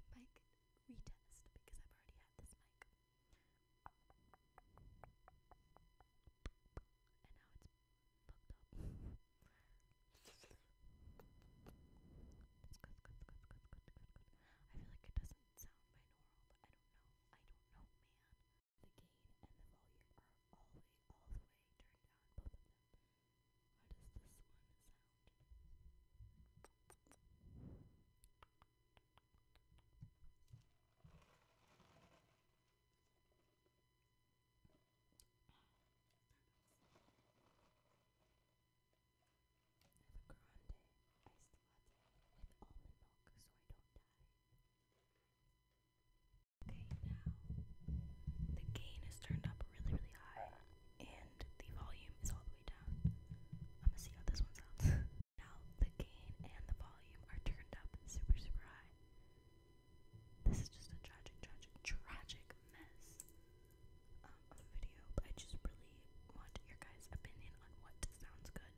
a mic retest because I've already had this mic. And now it's fucked up. I feel like it doesn't sound binaural, but I don't know. I don't know, man. The gain and the volume are all the way, all the way turned down, both of them. How does this one sound? Oh, I have a grande iced latte with almond milk so I don't die. Okay, now the gain is turned up really, really high, and the volume is all the way down. I'm gonna see how this one sounds. now the gain and the volume are turned up super, super high. This is just a tragic, tragic, tragic mess um, of a video, but I just really want your guys' opinion on what sounds good.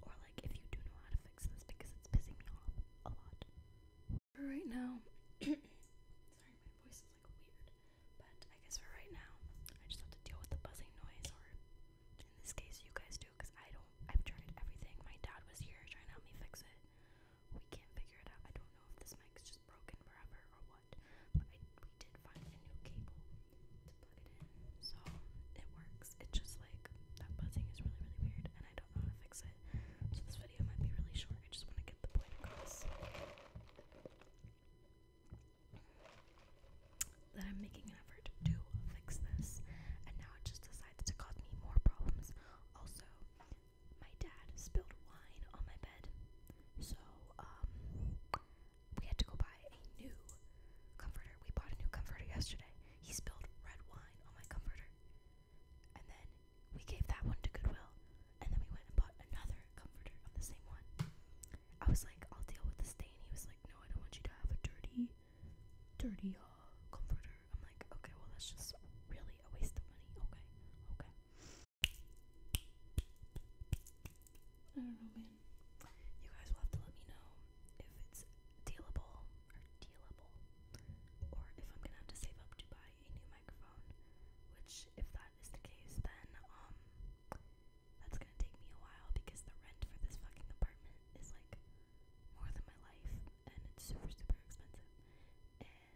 Or, like, if you do know how to fix this because it's pissing me off a lot. For right now, sorry, my voice is like weird, but I guess for right now, I just have to deal with the buzzing noise, or in this case, you guys do, because I don't. I've tried everything. My dad was here trying to help me fix it. We can't figure it out. I don't know if this mic's just broken forever or what, but we did find a new cable to plug it in, so it works. It's just like that buzzing is really, really weird, and I don't how to fix it. So this video might be really short. I just want to get the point across that I'm making an effort to fix this, and now it just decides to cause me more problems. Also, my dad spilled wine on my bed, so um, we had to go buy a new comforter. We bought a new comforter yesterday. He spilled red wine on my comforter and then we gave that one to Goodwill, and then we went and bought another comforter of the same one. I was like, I'll deal with the stain. He was like, No, I don't want you to have a dirty, dirty uh, comforter. I'm like, Okay, well, that's just really a waste of money. Okay, okay. I don't know, man. You guys will have to let me know if it's dealable or dealable. Or if I'm gonna have to save up to buy a new microphone, which if that is the case, then um that's gonna take me a while because the rent for this fucking apartment is like more than my life and it's super super expensive.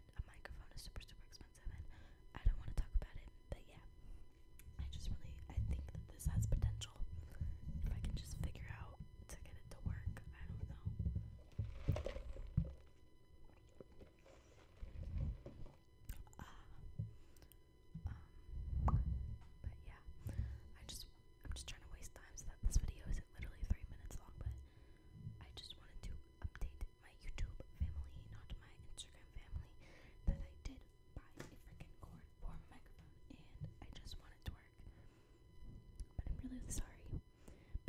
And a microphone is super super expensive and I don't wanna talk about it, but yeah. I just really I think that this has potential. If I can just figure out to get it to work. I don't know. Uh, um, but yeah, I just I'm just trying to waste time so that this video isn't literally three minutes long. But I just wanted to update my YouTube family, not my Instagram family, that I did buy a freaking cord for a microphone, and I just want to but I'm really sorry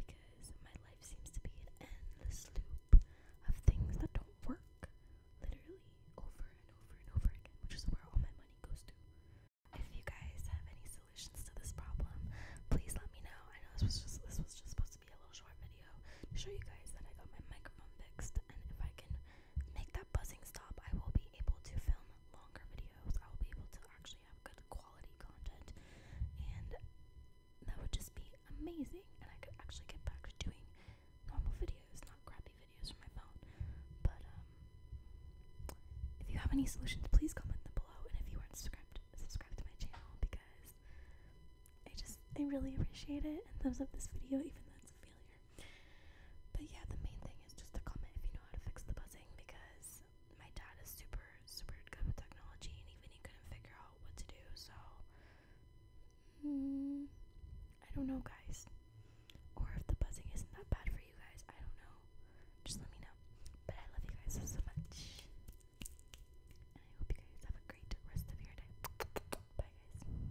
because my life seems to be an endless loop of things that don't work literally over and over and over again, which is where all my money goes to. If you guys have any solutions to this problem, please let me know. I know this was just this was just supposed to be a little short video to show you guys that I got my microphone fixed and if I can make that buzzing stop, I will be able to film longer videos, I'll be able to actually have good quality content, and that would just be amazing. And I could actually get back to doing normal videos, not crappy videos from my phone. But um, if you have any solutions, please comment them below. And if you aren't subscribed, subscribe to my channel because I just I really appreciate it. And thumbs up this video, even though it's a failure. But yeah, the main thing is just to comment if you know how to fix the buzzing because my dad is super, super good with technology and even he couldn't figure out what to do. So, mm, I don't know, guys. Or if the buzzing isn't that bad for you guys, I don't know. Just let me know. But I love you guys so, so much. And I hope you guys have a great rest of your day. Bye, guys.